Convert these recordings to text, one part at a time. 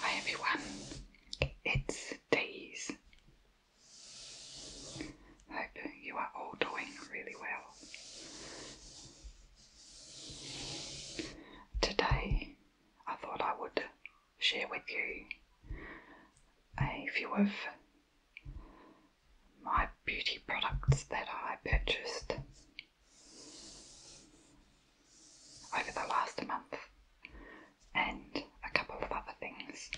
Hi everyone, it's Days. Hope you are all doing really well. Today, I thought I would share with you a few of my beauty products that I purchased over the last month and a couple of other things.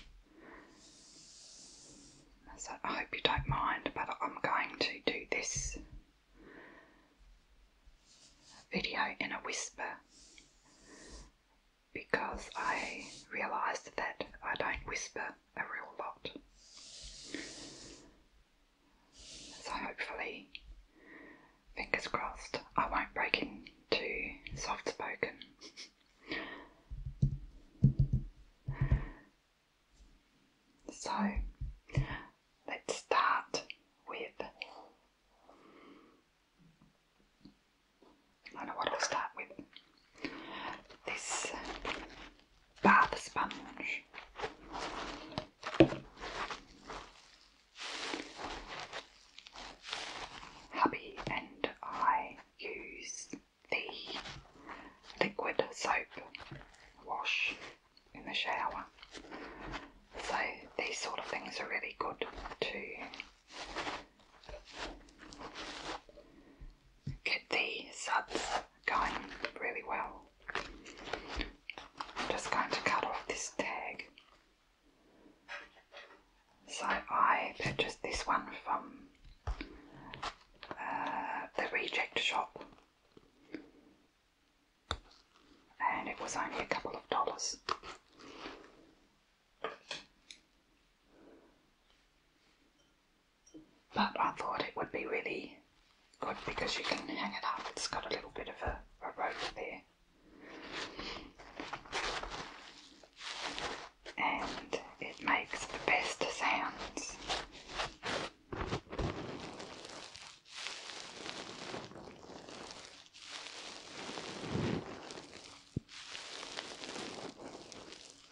So I hope you don't mind, but I'm going to do this video in a whisper because I realised that I don't whisper a real lot. So hopefully, fingers crossed, I won't break into soft spoken. So let's start with I know what I'll start with. This bath sponge. Hubby and I use the liquid soap wash in the shower. So these sort of things are really good to get the suds going really well. I'm just going to cut off this tag. So I purchased this one from uh, the reject shop and it was only a couple of dollars. But I thought it would be really good because you can hang it up. It's got a little bit of a, rope there. And it makes the best sounds.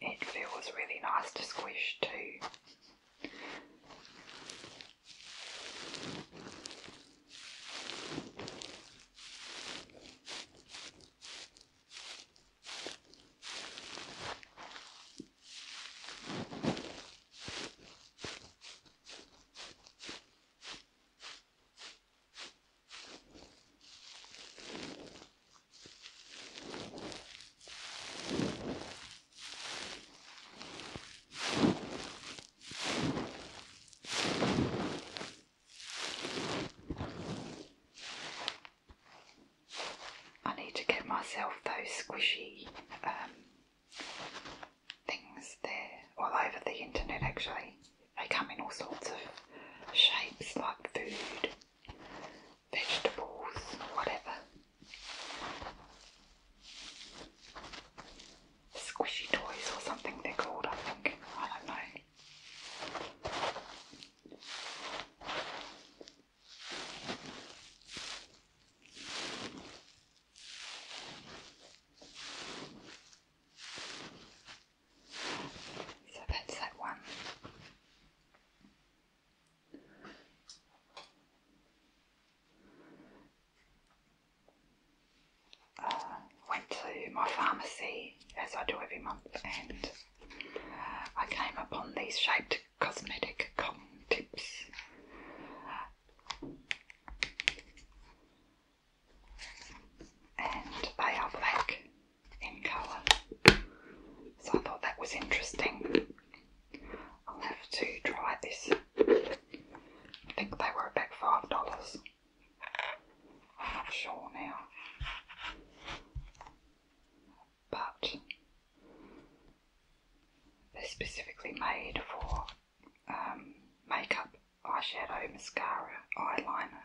It feels really nice to squish too. I need to get myself those squishy um, things there all over the internet actually. They come in all sorts of shapes like food vegetables, whatever. Squishy toys or something they're called, I think. I don't know. So that's that one. Uh, went to my pharmacy as I do every month and uh, I came upon these shaped cosmetic cotton tips. And they are black in colour. So I thought that was interesting. I'll have to try this. I think they were about five dollars. I'm not sure now. But they're specifically made for um, makeup, eyeshadow, mascara, eyeliner.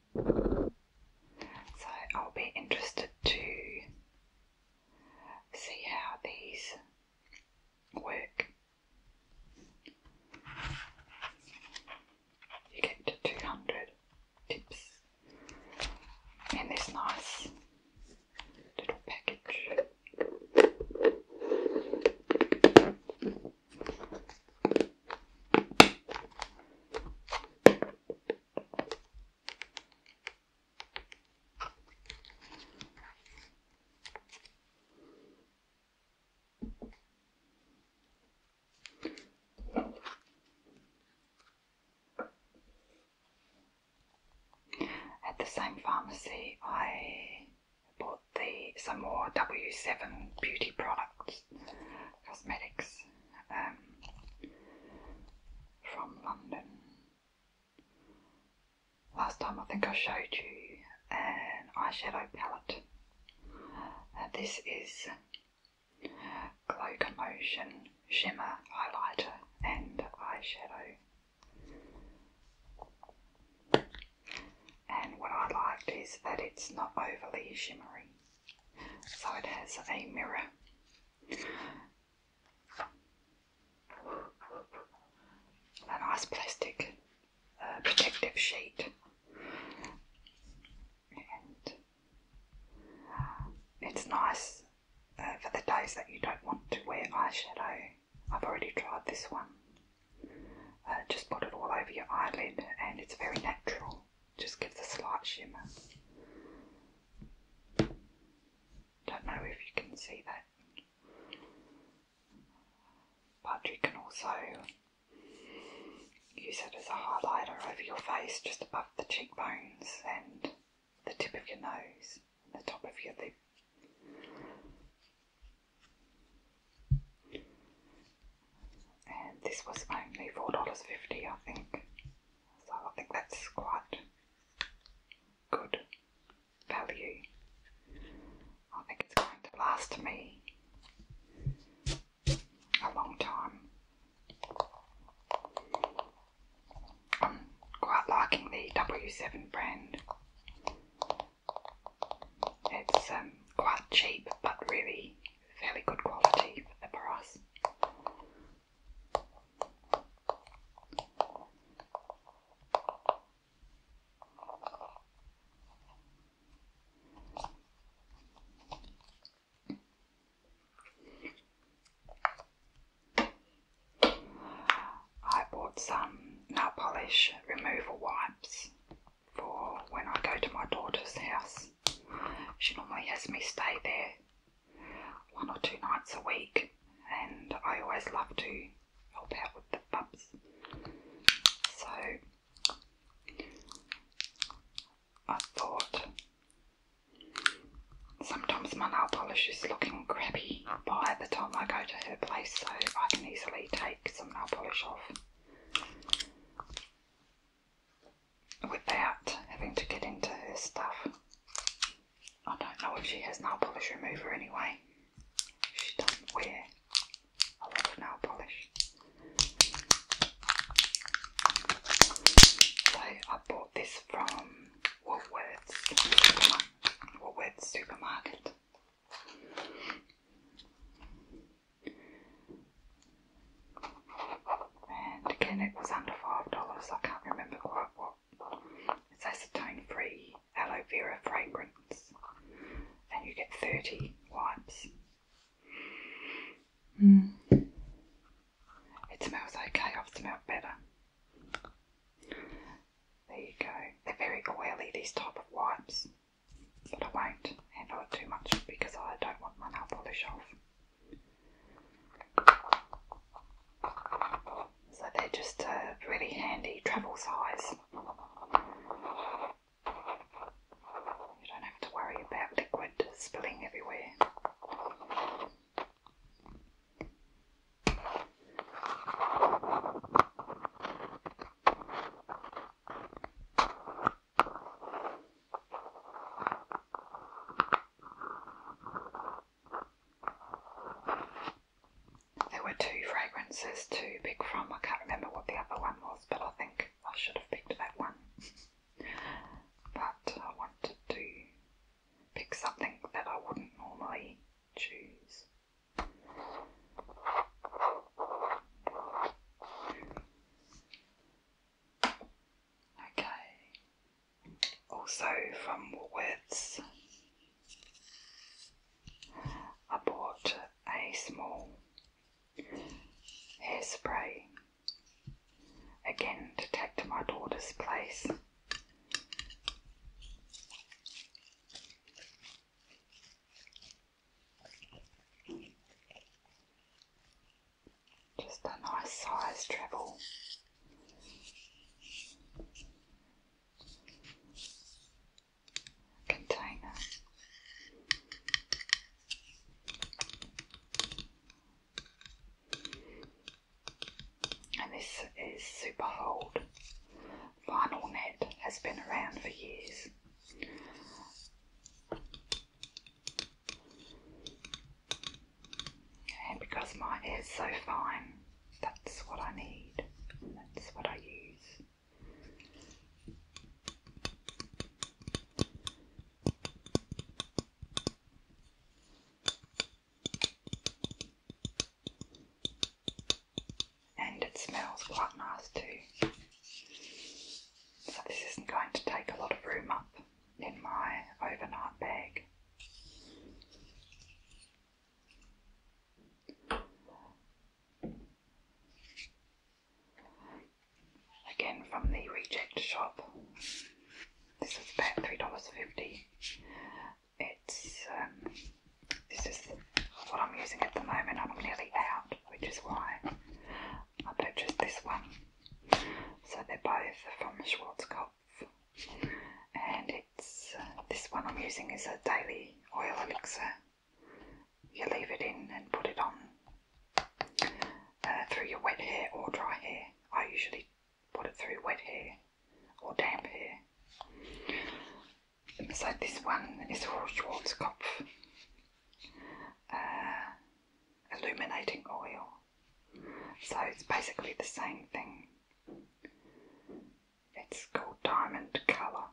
So I'll be interested to see how these work. You get 200 tips in this nice little package. At the same pharmacy, I bought the some more W7 beauty products. Cosmetics um, from London. Last time I think I showed you an eyeshadow palette. Uh, this is Glow Commotion Shimmer Highlighter and Eyeshadow. And what I liked is that it's not overly shimmery. So it has a mirror. A nice plastic uh, protective sheet, uh, it's nice uh, for the days that you don't want to wear eyeshadow. I've already tried this one. just put it all over your eyelid, and it's very natural just gives a slight shimmer. Don't know if you can see that, but you can also use it as a highlighter over your face, just above the cheekbones and the tip of your nose, and the top of your lip. And this was only $4.50, I think. So I think that's quite good value. I think it's going to last me a long time. I'm quite liking the W7 brand. It's um, quite cheap but really fairly good quality for the price. I bought some nail polish removal wipes for when I go to my daughter's house she normally has me stay there one or two nights a week, and I always love to help out with the pups. So I thought sometimes my nail polish is looking crappy by the time I go to her place, so I can easily take some nail polish off without having to get into her stuff. I don't know if she has nail polish remover anyway. She doesn't wear a lot of nail polish. I bought this from Woolworths, Woolworths supermarket. And again, it was under five dollars. I can't remember quite what. It's acetone free aloe vera fragrance, and you get 30 wipes. Hmm. It smells okay, I've smelled better. There you go. They're very oily, these type of wipes, but I won't handle it too much because I don't want my nail polish off. So they're just a uh, really handy travel size. You don't have to worry about liquid spilling everywhere. There were two fragrances to pick from. I can't remember what the other one was, but I think I should have picked that one. but I wanted to pick something that I wouldn't normally choose. Okay. Also from Woolworths, I bought a small hairspray again to take to my daughter's place. Just a nice size treble. Container. And this is super hold. Vinyl net has been around for years. And because my hair is so fine, that's what I need, that's what I use. And it smells quite nice too. So, this isn't going to take a lot of room up in my overnight bag. Again from the reject shop. This is about three dollars fifty. It's um, this is what I'm using at the moment. I'm nearly out, which is why I purchased this one. So they're both from Schwarzkopf, and it's uh, this one I'm using is a daily oil elixir. You leave it in and put it on uh, through your wet hair or dry hair. I usually put it through wet hair or damp hair. Beside this one is Schwarzkopf uh, illuminating oil. So it's basically the same thing. It's called diamond colour.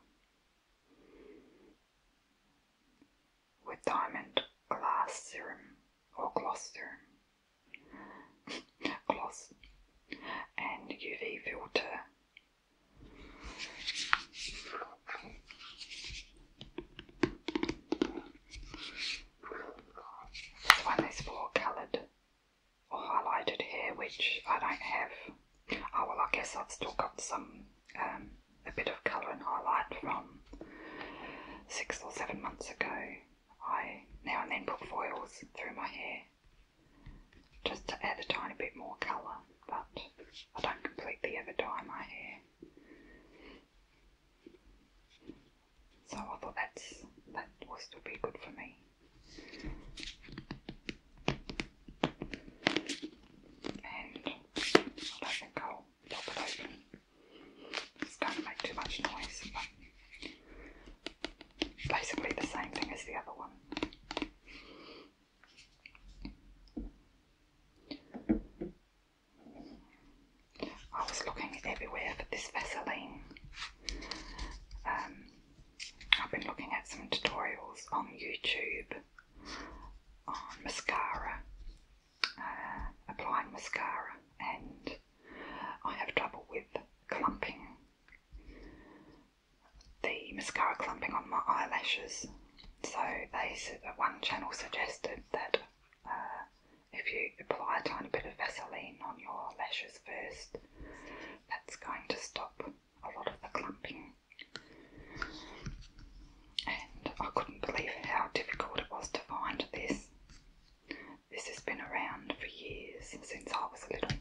With diamond glass serum or gloss serum. gloss and UV filter when there's four coloured or highlighted here, which I don't have. Oh well, I guess I've still got some, um, a bit of colour and highlight from six or seven months ago. I now and then put foils through my hair just to add a tiny bit more colour, but I don't completely ever dye my hair. So I thought that's that was still pretty good for me. And I don't pop it open. It's going to make too much noise, basically the same thing as the other one. I was looking everywhere for this Vaseline. Um, I've been looking at some tutorials on YouTube on mascara, uh, applying mascara, and I have trouble with clumping, the mascara clumping on my eyelashes. So they said that one channel suggested that uh, if you apply a tiny bit of Vaseline on your lashes first, that's going to stop a lot of the clumping. And I couldn't believe how difficult it was to find this. This has been around for years since I was little.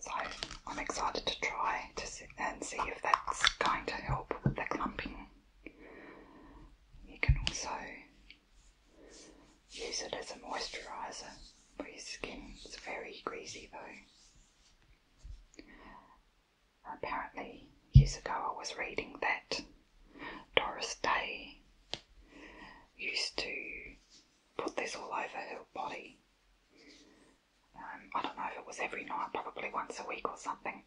So I'm excited to try to see and see if that's going to help with the clumping. You can also use it as a moisturiser for your skin. It's very greasy though. Apparently, years ago I was reading that Doris Day used to put this all over her body um, I don't know if it was every night, probably once a week or something,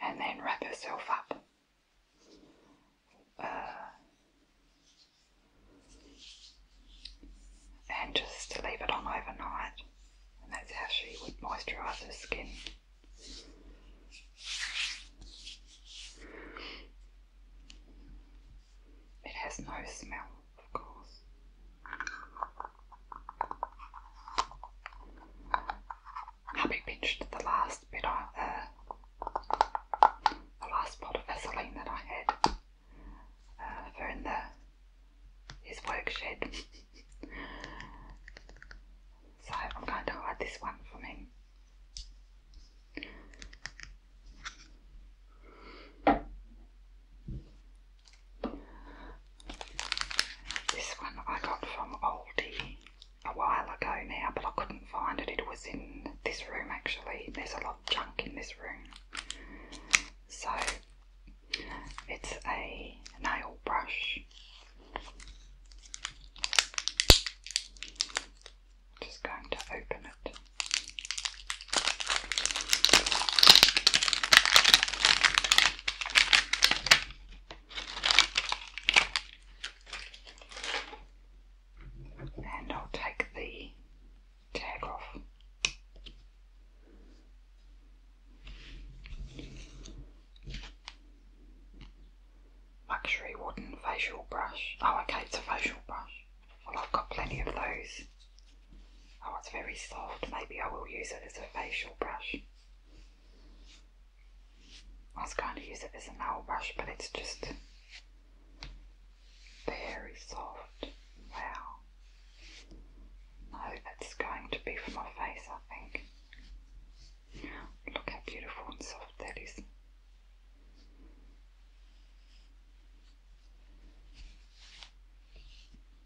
and then wrap herself up. Uh, and just leave it on overnight, and that's how she would moisturise her skin. It has no smell of course. Happy pinched the last bit of uh, the last pot of Vaseline that I had uh, in the his work so I'm going to hide this one from him. This one I got from Aldi a while ago now, but I couldn't find it. It was in this room actually. There's a lot of junk in this room. So it's a nail brush. Just going to open it. And I'll take the tag off. Luxury wooden facial brush. Oh, okay, it's a facial brush. Well, I've got plenty of those. Oh, it's very soft. Maybe I will use it as a facial brush. I was going to use it as a nail brush, but it's just very soft. Wow. No, that's going to be for my face, I think. Look how beautiful and soft that is.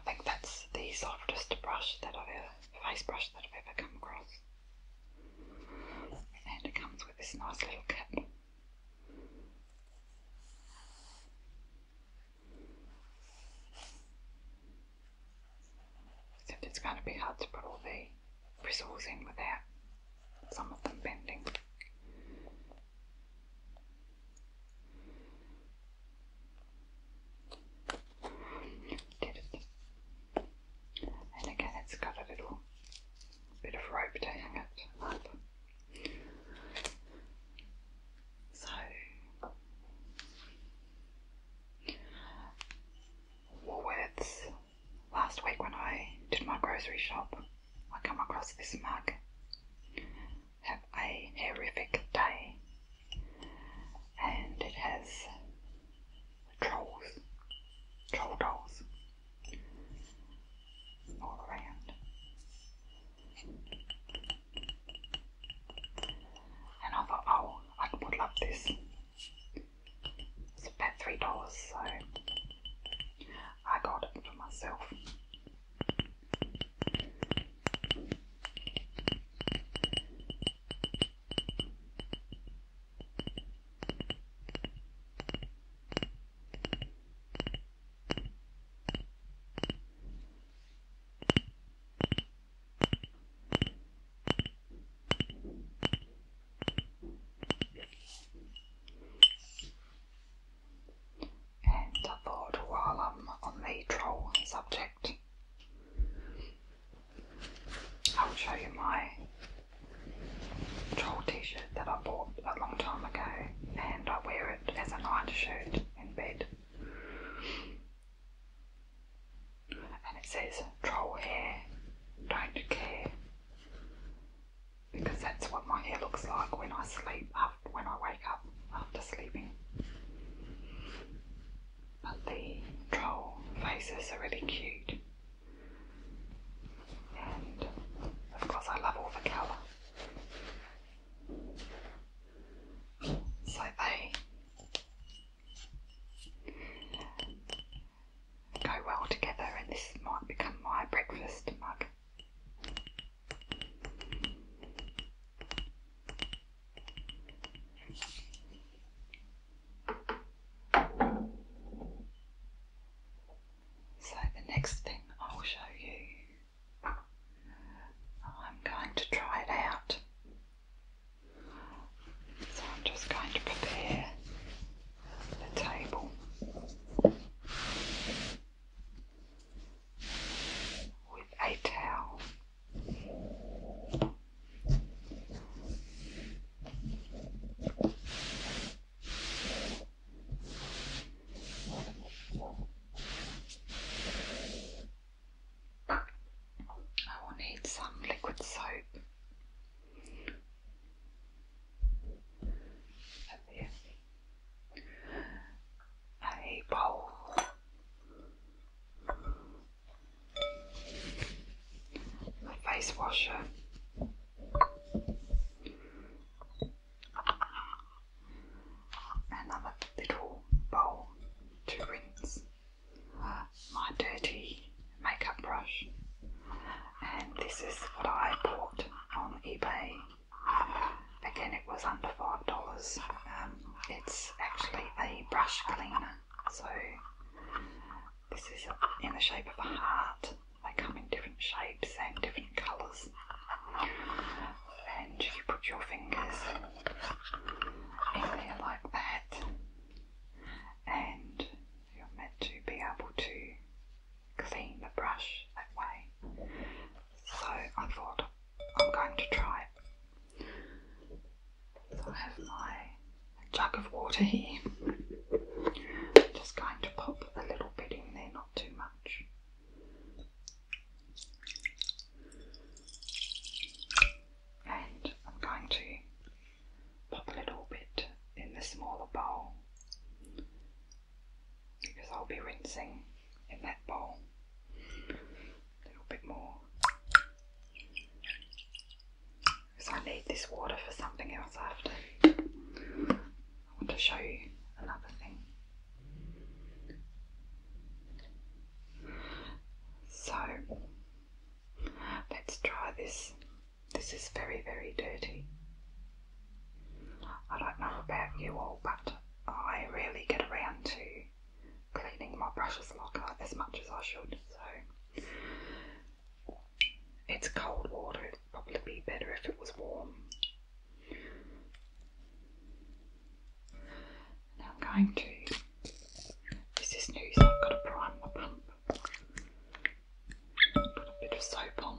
I think that's the softest brush that I've ever best face brush that I've ever come across. And it comes with this nice little kit. Except it's going to be hard to put all the bristles in without some of them bending. And again, it's got a little bit of rope to it up. So, Woolworths, last week when I did my grocery shop, I come across this mug. Have a horrific day and it has trolls, troll dolls all around. And I thought, oh, I would love this. It's about three dollars, so I got it for myself. And I thought while I'm on the troll subject, I'll show you my troll t shirt that I bought a long time ago, and I wear it as a night shirt in bed. And it says, Troll hair, don't care. Because that's what my hair looks like when I sleep, after, when I wake up after sleeping. But the troll faces are really cute. And of course, I love all the colour. So they go well together, and this might become my breakfast mug. So, the next thing I'll show you, I'm going to try it out. So, I'm just going to prepare the table with a towel. I will need some liquid soap A bowl a face washer. Another little bowl to rinse my dirty makeup brush, and this is what I bought on eBay. Again, it was under five dollars. Um, it's actually a brush cleaner, so this is in the shape of a heart. They come in different shapes and different colours. And you put your fingers in there like that, and you're meant to be able to clean the brush that way. So I thought I'm going to try so I have my jug of water here. Just going to pop a little bit in there, not too much. And I'm going to pop a little bit in the smaller bowl because I'll be rinsing in that bowl a little bit more. Because I need this water for something else after. I want to show you another thing. So let's try this. This is very, very dirty. I don't know about you all, but I rarely get around to cleaning my precious like as much as I should, so it's cold water, it'd probably be better if it was warm. Now I'm going to this new, I've got to prime the pump. Put a bit of soap on.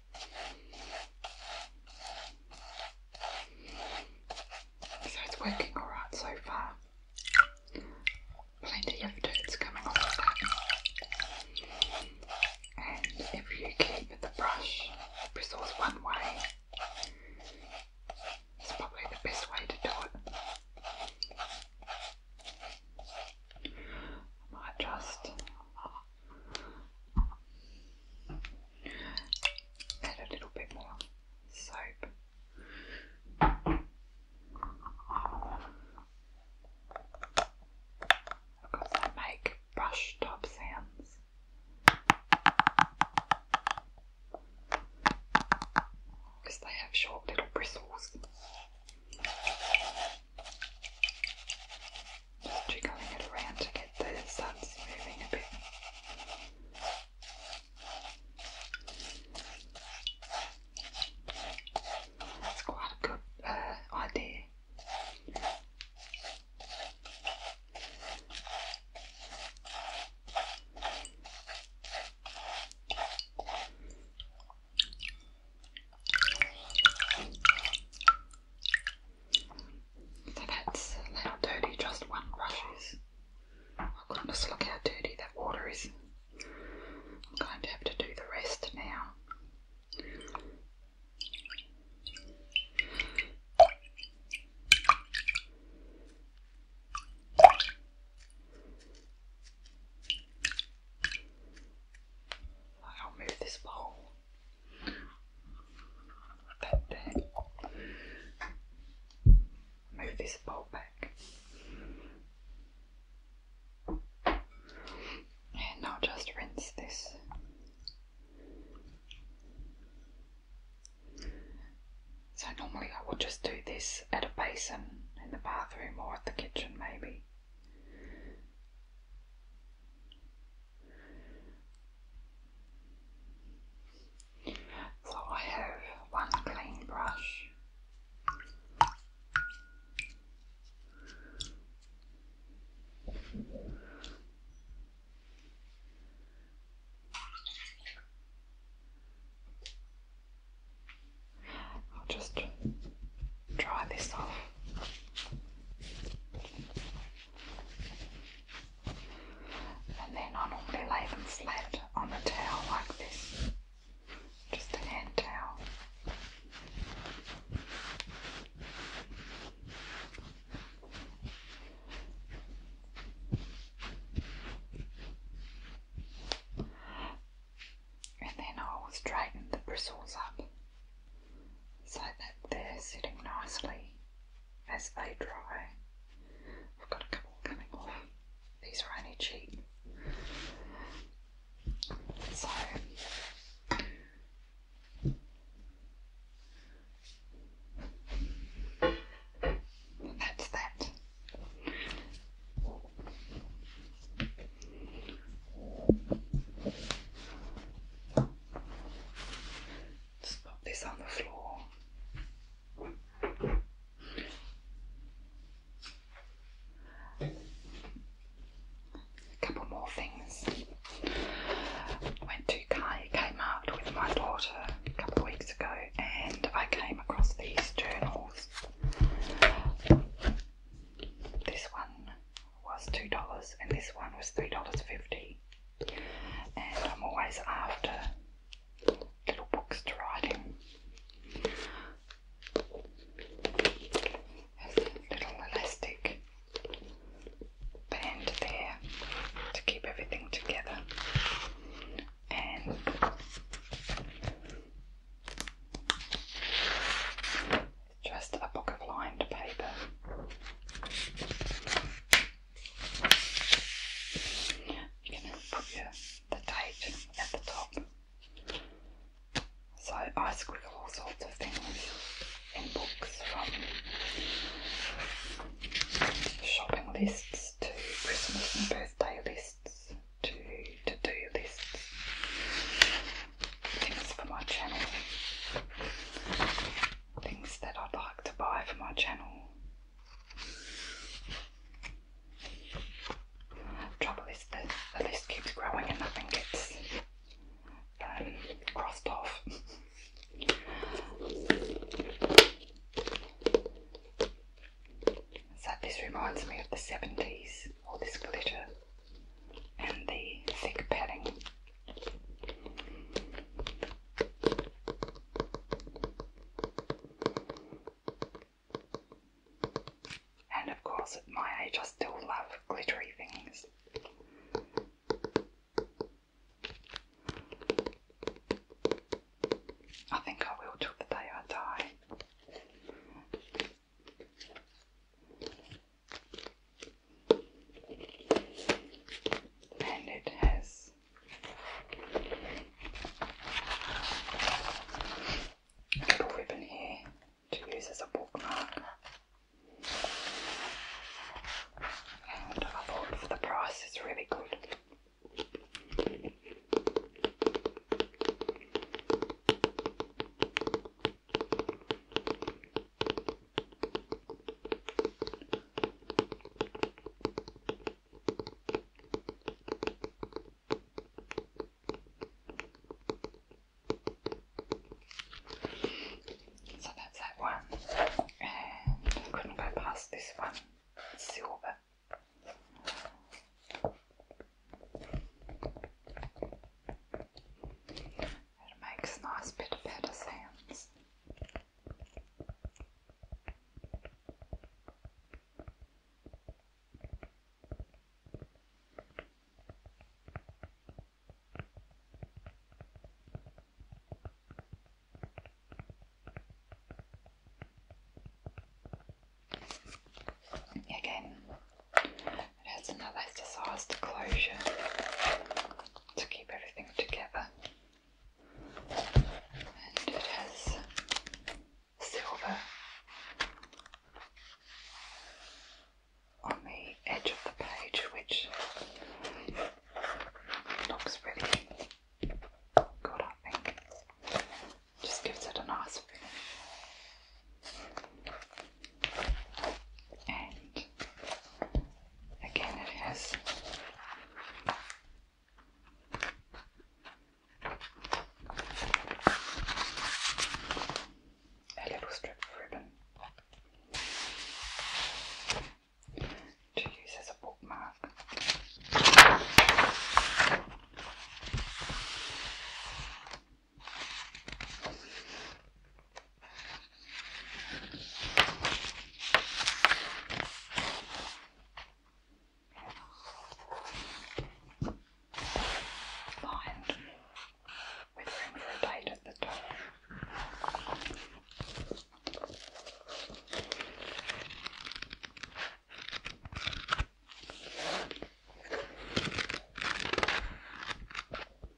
So it's working alright so far. Plenty of dirt's coming off of that. And if you keep the brush bristles one way, it's probably the best way to do it. I just add a little bit more soap. Because I make brush top sounds. Because they have short little bristles. Jiggling it around to get the suds moving a bit. That's quite a good uh, idea. So that's how dirty just one brush is. Oh goodness, look how dirty that water is. I'm going to have to do the rest now. I'll move this bowl. That there. Move this bowl back. And i just rinse this. So normally I would just do this at a basin in the bathroom or at the kitchen maybe. So I have one clean brush. I'll just dry this off. And then I normally lay them flat on the towel like this, just a hand towel and then I will straighten the bristles up so that they're sitting nicely as they dry. I've got a couple coming off. These are only cheap. So that's that. Just pop this on the floor. A couple more things. I went to Kmart with my daughter a couple of weeks ago and I came across these journals. This one was $2 and this one was $3.50. And I'm always after little books to write in. little elastic band there to keep everything together. And just a book of lined paper. You're put the date at the top. So I scribble all sorts of things in books from shopping lists to Christmas and birthday lists to to do lists things for my channel, things that I'd like to buy for my channel. Trouble is the list keeps growing and nothing gets um, crossed off. so this reminds me of the 70s all this glitter and the thick padding. And of course, at my age, I still love glittery things. I think I will till the day I die and it has a little ribbon here to use as a bookmark. And I thought for the price it's really good. So that's that one, couldn't go past this one, silver. It makes nice bit of patter sounds. Again, it has another desired closure to keep everything together. And it has silver on the edge of the page, which looks really good, I think. Just gives it a nice finish and again it has a little strip of ribbon to use as a bookmark. Lined with room for a light at the top.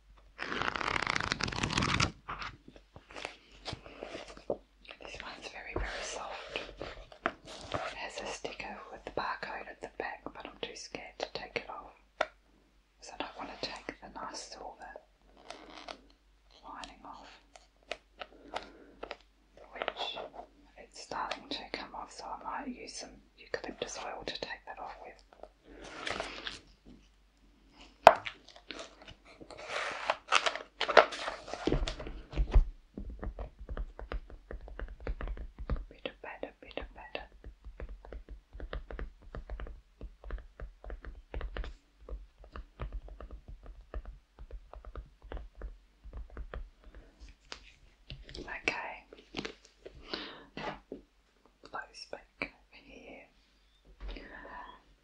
This one's very, very soft. has a sticker with the barcode at the back, but I'm too scared to take it off because I want to take the nice silver lining off, which it's starting to come off, so I might use some eucalyptus oil to take that off with. Bit of better, bit better. Okay blows back over here.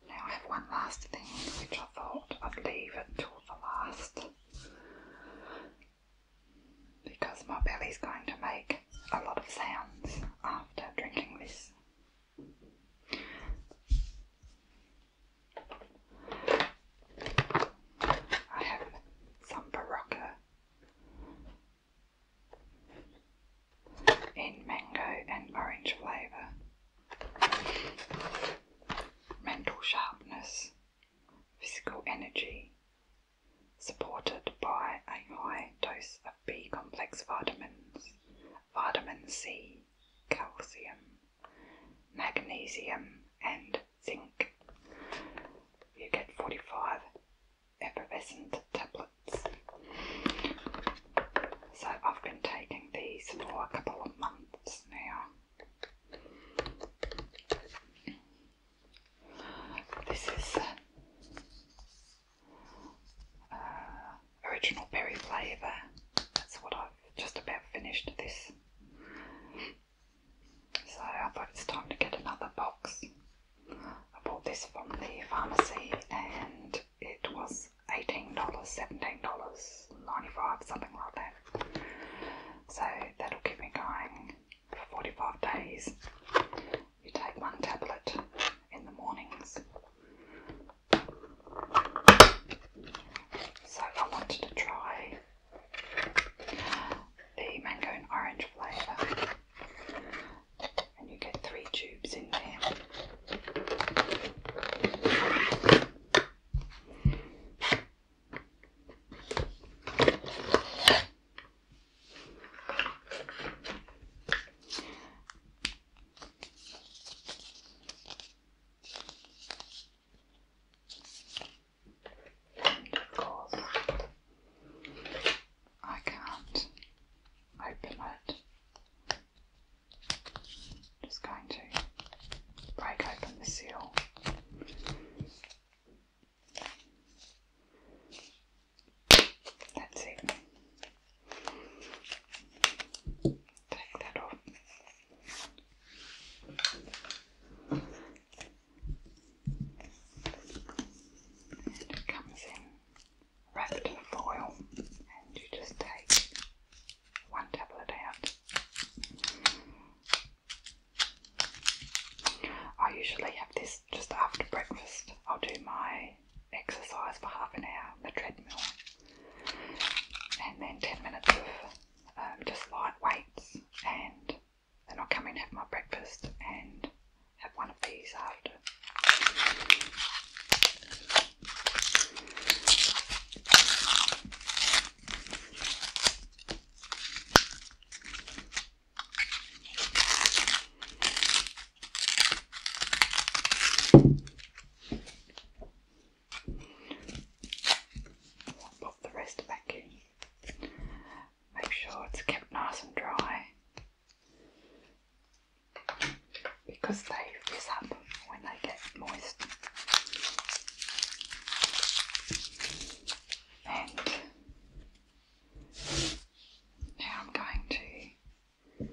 Now I have one last thing which I thought I'd leave until the last because my belly's going to make a lot of sounds after drinking this. I have some Barocca in mango and orange flavour. Mental sharpness, physical energy, supported by a high dose of B complex vitamins, vitamin C, calcium, magnesium, and zinc. You get 45 effervescent tablets. So I've been taking these for a couple of months now. This is uh, original berry flavour. That's what I've just about finished this. So I thought it's time to get another box. I bought this from the pharmacy and it was $18, $17.95, something like that. So that'll keep me going for 45 days. You take one tablet in the mornings. So I wanted to try the mango and orange flavour and you get three tubes in there. of course, I can't open it just going to break open the seal. That's it. Take that off. And it comes in wrapped foil, and you just take one tablet out. I usually have this just after breakfast. I'll do my exercise for half an hour on the treadmill, and then 10 minutes of um, just light weights, and then I'll come in, have my breakfast, and have one of these out. Pop the rest back in. Make sure it's kept nice and dry because they fizz up when they get moist. And now I'm going to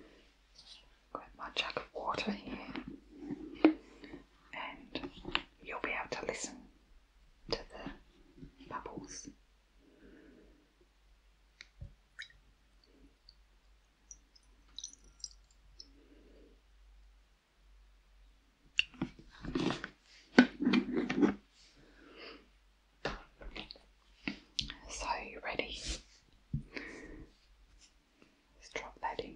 grab my jug of water here, and you'll be able to listen to the bubbles. So, you ready? Let's drop that in.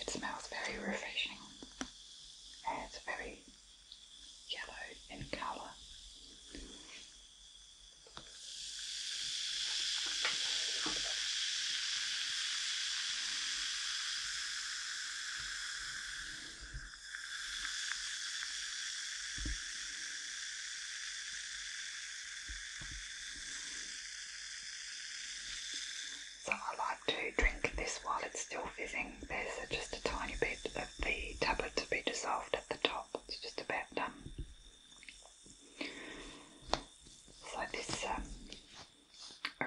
It smells very refreshing and it's very yellow in colour. So I like to drink this while it's still fizzing. There's just a tiny bit of the tablet to be dissolved at the top. It's just about done. So this um,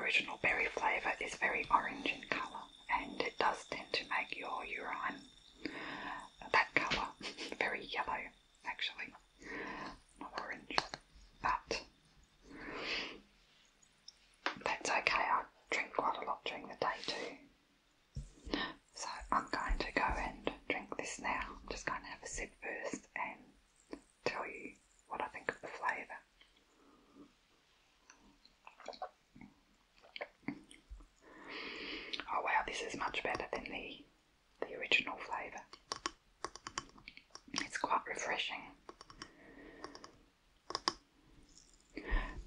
original berry flavour is very orange in colour and it does tend to make your urine that colour, very yellow actually, not orange, but that's okay. I drink quite a lot during the day too, so I'm going to go and drink this now. I'm just going to have a sip first and tell you what I think of the flavour. Oh wow, this is much better than the the original flavour. It's quite refreshing.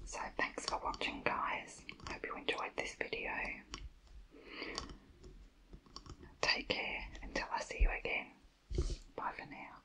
So thanks for watching guys. Hope you enjoyed this video. Take care until I see you again. Bye for now.